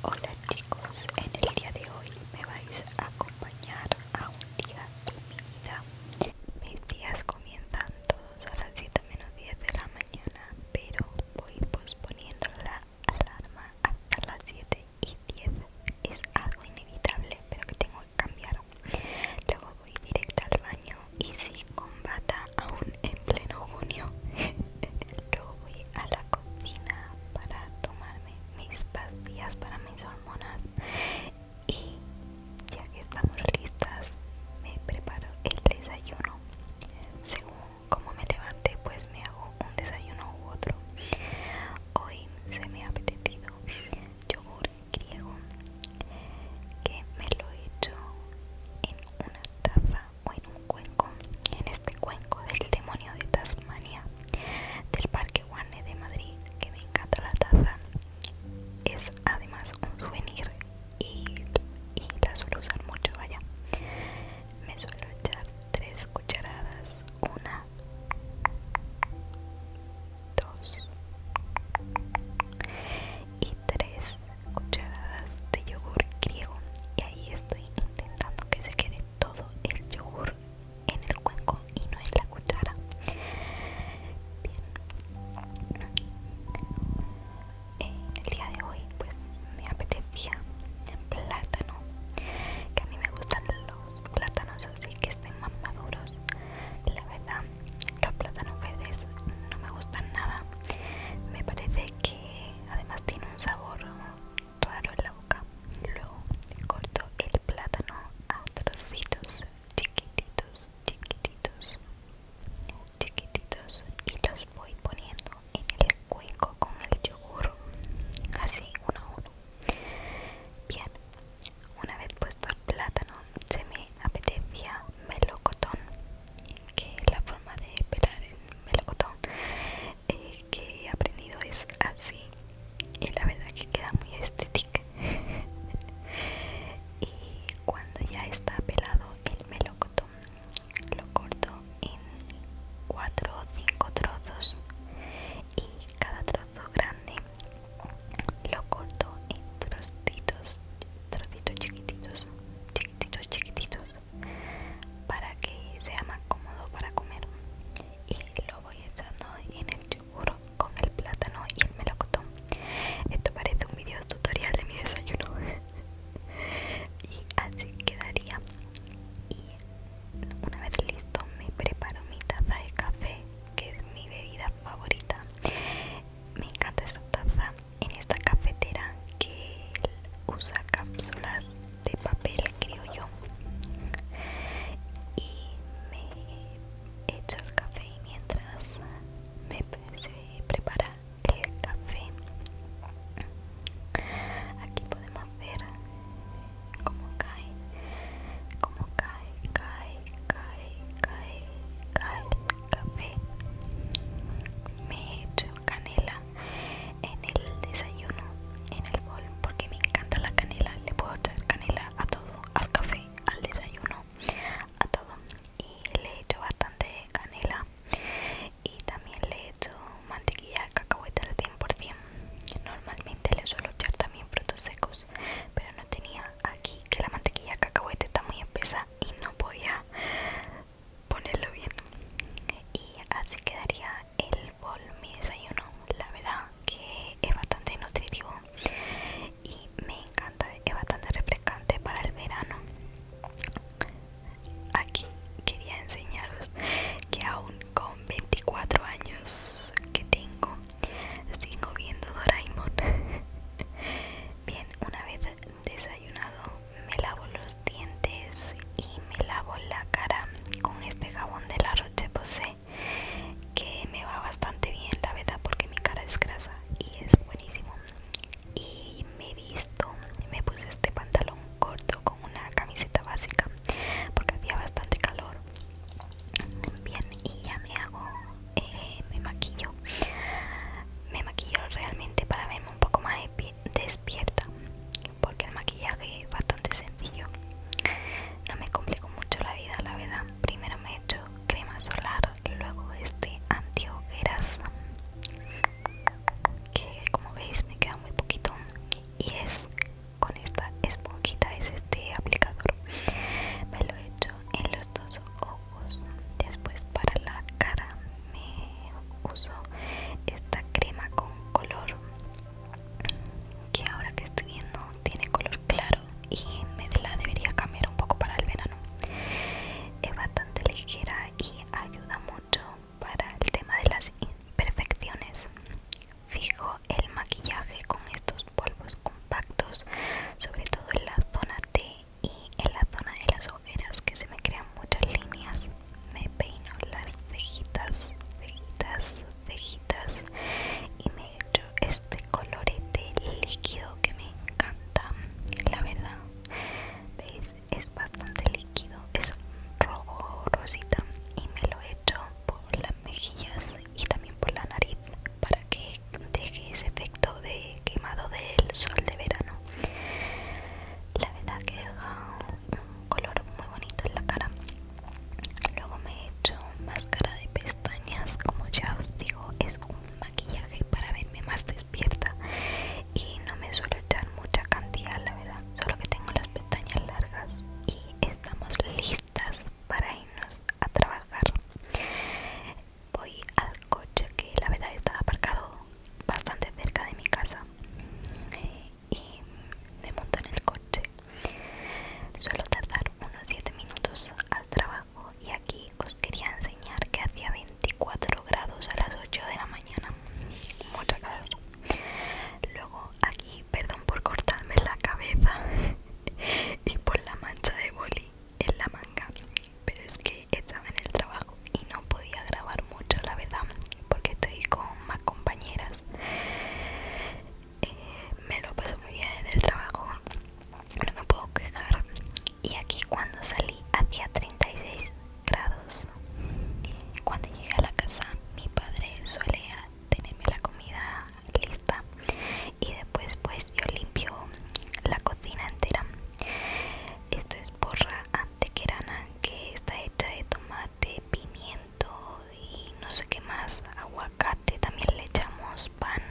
Hola chicos, en el día de hoy me vais a acompañar a un día de mi vida. Mis días comienzan todos a las 7 menos 10 de la mañana, pero voy posponiendo la alarma hasta las 7 y 10. Es algo inevitable, pero que tengo que cambiar. Luego voy directa al baño y si combata aún en pleno junio. Luego voy a la cocina para tomarme mis pastillas para mis hormonas y ya que estamos listas me preparo el desayuno. Según como me levante pues me hago un desayuno u otro. Hoy se me ha apetecido yogur griego que me lo he hecho en una taza o en un cuenco, en este cuenco del demonio de Tasmania, del Parque Warner de Madrid, que me encanta la taza. Es además un souvenir y, la suelo usar mucho, vaya. Me suelo echar tres cucharadas, una, dos y tres cucharadas de yogur griego y ahí estoy intentando que se quede todo el yogur en el cuenco y no en la cuchara. Bien. Eh, el día de hoy, pues me apetecía plátano, que a mí me gustan los plátanos así que estén más maduros. La verdad, los plátanos verdes no me gustan nada. Me parece que además tiene un sabor raro en la boca. Luego corto el plátano a trocitos chiquititos, chiquititos, chiquititos y los voy poniendo en el cuenco con el yogur, así uno a uno. Bien, una vez puesto el plátano, se me apetecía melocotón, que es la forma de pelar el melocotón, eh, que he aprendido es así y la verdad que queda muy estética y cuando ya está pelado el melocotón lo corto en 4 o 5 trozos y cada trozo grande lo corto en trocitos trocitos chiquititos chiquititos chiquititos para que sea más cómodo para comer y lo voy echando en el yogur con el plátano y el melocotón esto parece un video tutorial de mi desayuno y así quedaría y una vez listo me preparo mi taza de café que es mi bebida favorita me encanta esta taza en esta cafetera que usa cápsulas de papel creo yo y me echo el café y mientras me prepara el café aquí podemos ver cómo cae cómo cae cae cae cae cae el café me echo canela en el desayuno, en el bol, porque me encanta la canela. Le puedo echar canela a todo, al café, al desayuno, a todo. Y le he hecho bastante canela y también le he hecho mantequilla de cacahuete al 100%. Normalmente le suelo echar también frutos secos, pero no tenía aquí que la mantequilla de cacahuete está muy espesa y no podía ponerlo bien y así quedaría el bol mi desayuno la verdad que es bastante nutritivo y me encanta es bastante refrescante para el verano aquí quería enseñaros que aún con 24 años que tengo sigo viendo Doraemon bien una vez desayunado me lavo los dientes y me lavo la cara con este jabón de la Roche Posay que me va bastante bien la verdad porque mi cara es grasa y es buenísimo y me he visto me puse este pantalón corto con una camiseta básica porque hacía bastante calor bien y ya me hago eh, me maquillo me maquillo realmente para verme un poco más despierta porque el maquillaje es bastante sencillo. No me complico mucho la vida, la verdad. Primero me he hecho crema solar, luego este antihogueras, que como veis me queda muy poquito y es con esta esponjita, es este aplicador. Me lo he hecho en los dos ojos. Después para la cara me uso esta crema con color que ahora que estoy viendo tiene color claro y me la debería cambiar un poco para el verano es bastante ligera y ayuda mucho para el tema de las imperfecciones fijo el maquillaje con estos polvos compactos sobre todo en la zona T y en la zona de las ojeras que se me crean muchas líneas me peino las cejitas, cejitas, cejitas y me echo este colorete líquido que me encanta, la verdad. ¿Veis? Es bastante líquido, es rojo rosita y me lo echo por las mejillas y también por la nariz para que deje ese efecto de quemado del sol de verano. La verdad que deja un color muy bonito en la cara luego me he hecho máscara de pestañas como ya os digo es un maquillaje para verme más despierta y no me suelo echar mucha cantidad la verdad solo que tengo las pestañas largas y estamos listas para irnos a trabajar voy al coche que la verdad está aparcado bastante cerca de mi casa y me monto en el coche. Suelo tardar unos 7 minutos al trabajo y aquí os quería enseñar que hacía 24 grados a las 8 de la mañana. Mucha calor. Luego aquí, perdón por cortarme la cabeza y por la mancha de boli en la manga, pero es que estaba en el trabajo y no podía grabar mucho, la verdad, porque estoy con más compañeras eh, me lo paso muy bien en el trabajo no me puedo quejar y aquí cuando salí hacía 36 grados cuando llegué a la casa mi padre suele tenerme la comida lista y después pues yo limpio la cocina entera esto es porra antequerana que está hecha de tomate, pimiento y no sé qué más aguacate también le echamos pan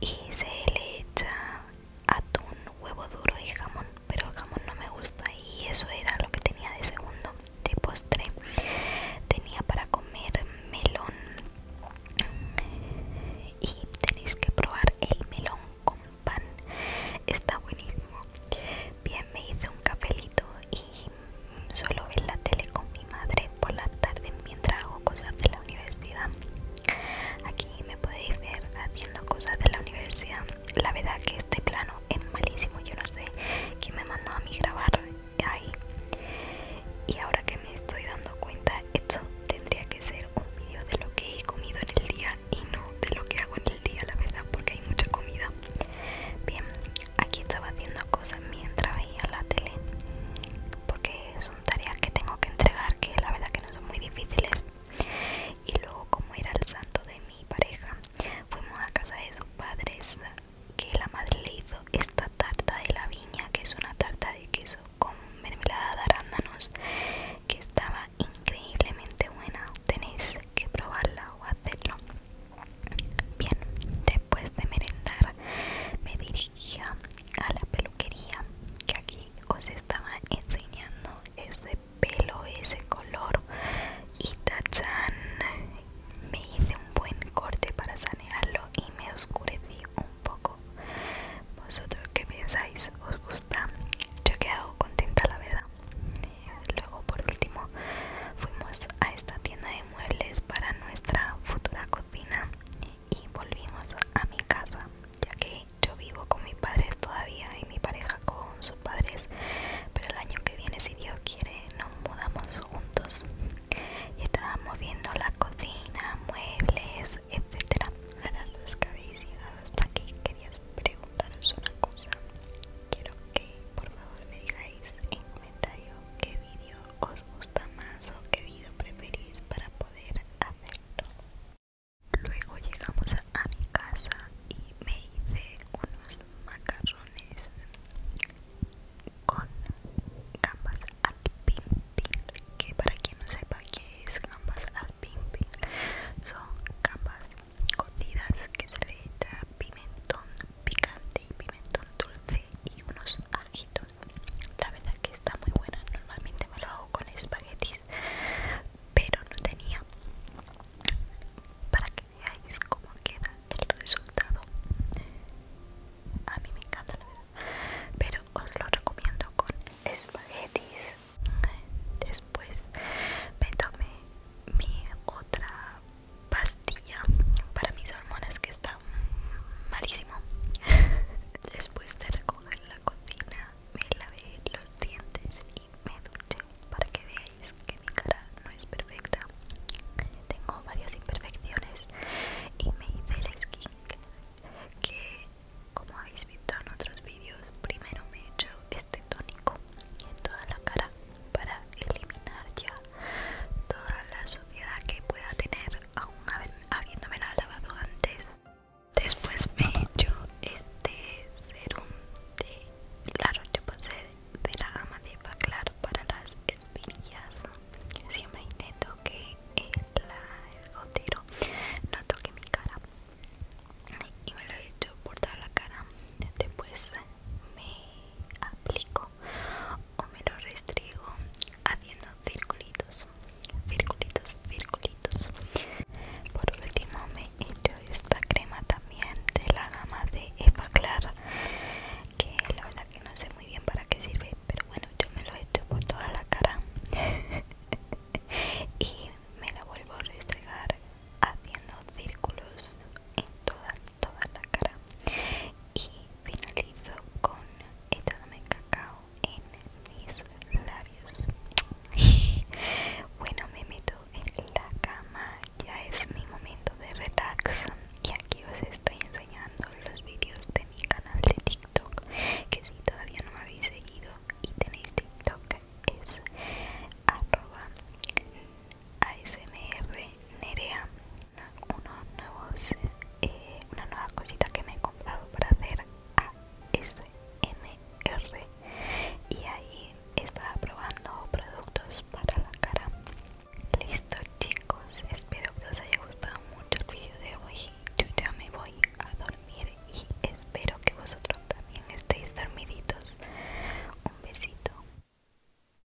y se le echa atún huevo duro y jamón pero el jamón no me gusta y eso era lo que tenía de segundo de postre tenía para comer melón y tenéis que probar el melón con pan está buenísimo bien me hice un cafelito y suelo ver la tele con mi madre por las tardes mientras hago cosas de la universidad. Aquí me podéis ver haciendo cosas de la universidad. La verdad que este plano es malísimo, yo no sé quién me mandó a mí grabar ahí. Y ahora que me estoy dando cuenta, esto tendría que ser un vídeo de lo que he comido en el día y no de lo que hago en el día, la verdad, porque hay mucha comida. Bien, aquí estaba haciendo cosas mientras veía la tele porque son tareas que tengo que entregar que la verdad que no son muy difíciles y luego como era el santo de mi pareja fuimos a casa de sus padres que la madre le hizo esta tarta de la viña que es una tarta de queso con mermelada de arándanos que estaba increíblemente buena tenéis que probarla o hacerlo Bien, después de merendar me dirigía a la peluquería que aquí os estaba enseñando ese pelo, ese color y tachán me hice un buen corte para sanearlo y me oscurecí un poco. ¿Vosotros qué pensáis? ¿Os gusta? Yo he quedado contenta la verdad luego por último fuimos a esta tienda de muebles para nuestra futura cocina y volvimos a mi casa ya que yo vivo con mis padres todavía y mi pareja con sus padres pero el año que viene si Dios quiere nos mudamos juntos y estábamos viendo la cocina, muebles, etcétera Para los que habéis llegado hasta aquí quería preguntaros una cosa Quiero que por favor me digáis comentario qué vídeo os gusta más o qué vídeo preferís para poder hacerlo. Luego llegamos a mi casa y me hice unos macarrones con gambas al pim que para quien no sepa qué es gambas al pim son gambas cotidas que se le echa pimentón picante y pimentón dulce y unos ajitos. La verdad que está muy buena. Normalmente me lo hago con espaguetis, pero no tenía para que veáis cómo queda el resultado. A mí me encanta la verdad, pero os lo recomiendo con espaguetis. Después me tomé mi otra pastilla para mis hormonas que está malísimo. Después de recoger la cocina, me lavé los dientes y me duché para que veáis que mi cara no es perfecta. Tengo varias imperfecciones y me hice el skin que, como habéis visto en otros vídeos, primero me he hecho este tónico en toda la cara para eliminar ya toda la suciedad que pueda tener aún habiéndome lavado antes después me he hecho este serum de la Roche Posay de la gama de Baclar para las espinillas siempre intento que el, no toque mi cara y me lo he hecho por toda la cara después me aplico o me lo restrigo haciendo circulitos circulitos circulitos por último me echo esta crema también de la gama de espaclar que la verdad que no sé muy bien para qué sirve pero bueno yo me lo he hecho por toda la cara y me la vuelvo a restregar haciendo círculos en toda toda la cara y finalizo con echándome cacao en mis labios bueno me meto en la cama ya es mi momento de relax y aquí os estoy enseñando los vídeos de mi canal de tiktok que si todavía no me habéis seguido y tenéis tiktok es arroba asmr nerea unos nuevos, cosita que me he comprado para hacer ASMR y ahí estaba probando productos para la cara. Listo chicos, espero que os haya gustado mucho el vídeo de hoy. Yo ya me voy a dormir y espero que vosotros también estéis dormiditos. Un besito.